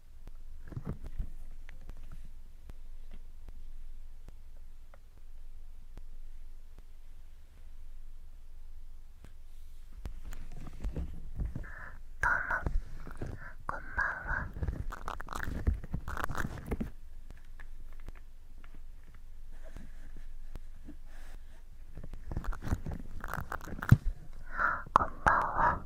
どうもこんばんはこんばんは。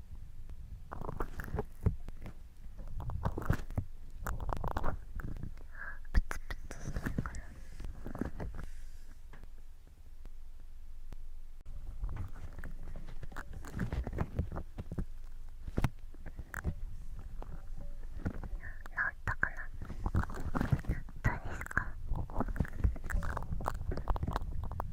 プツプツするかったかなどうですか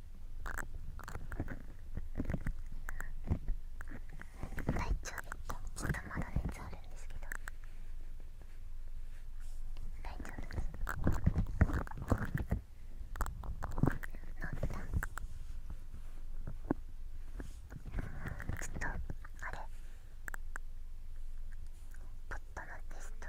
体調とちょっとまだ熱あるんですけど大丈夫です飲った。ちょっとあれポットのテスト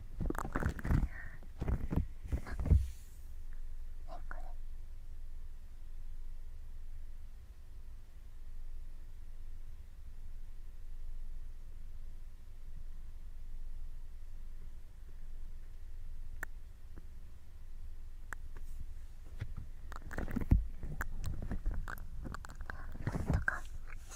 とか。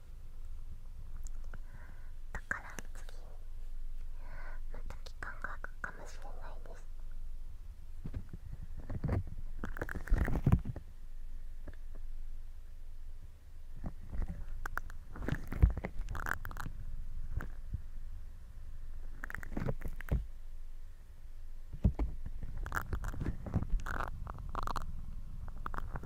だから次また期間が空くかもしれないです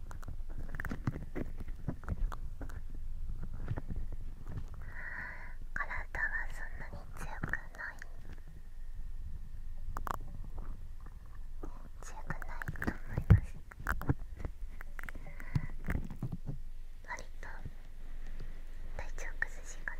体はそんなに強くない強くないと思います割と体調崩しがち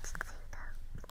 ち着いた。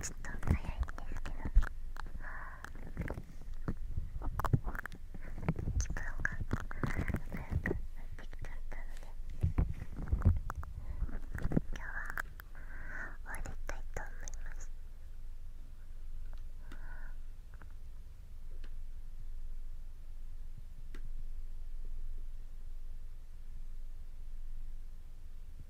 ちょっと早いんですけど。時間が早くなってきちゃったので今日は終わりたいと思います今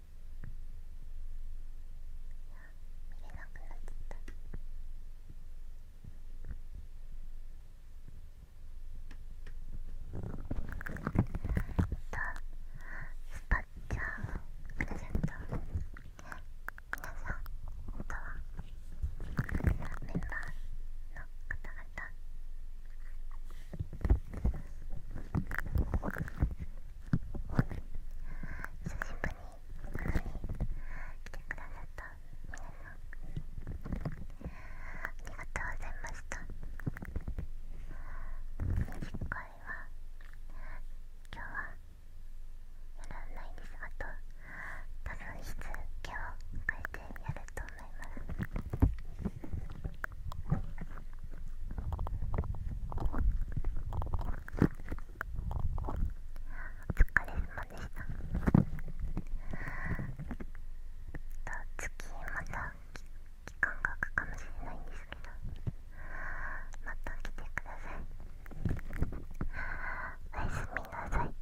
いや、見れなくなっちゃった。えっと、スパッチャープレゼント皆さん本当はメンバーの方々久しぶりに来てくださった皆さんありがとうございました次回は今日はやらないですあと多分しつけを変えてやると思いますあお疲れ様でした次また期間が空くかもしれないんですけどまた来てくださいおやすみなさい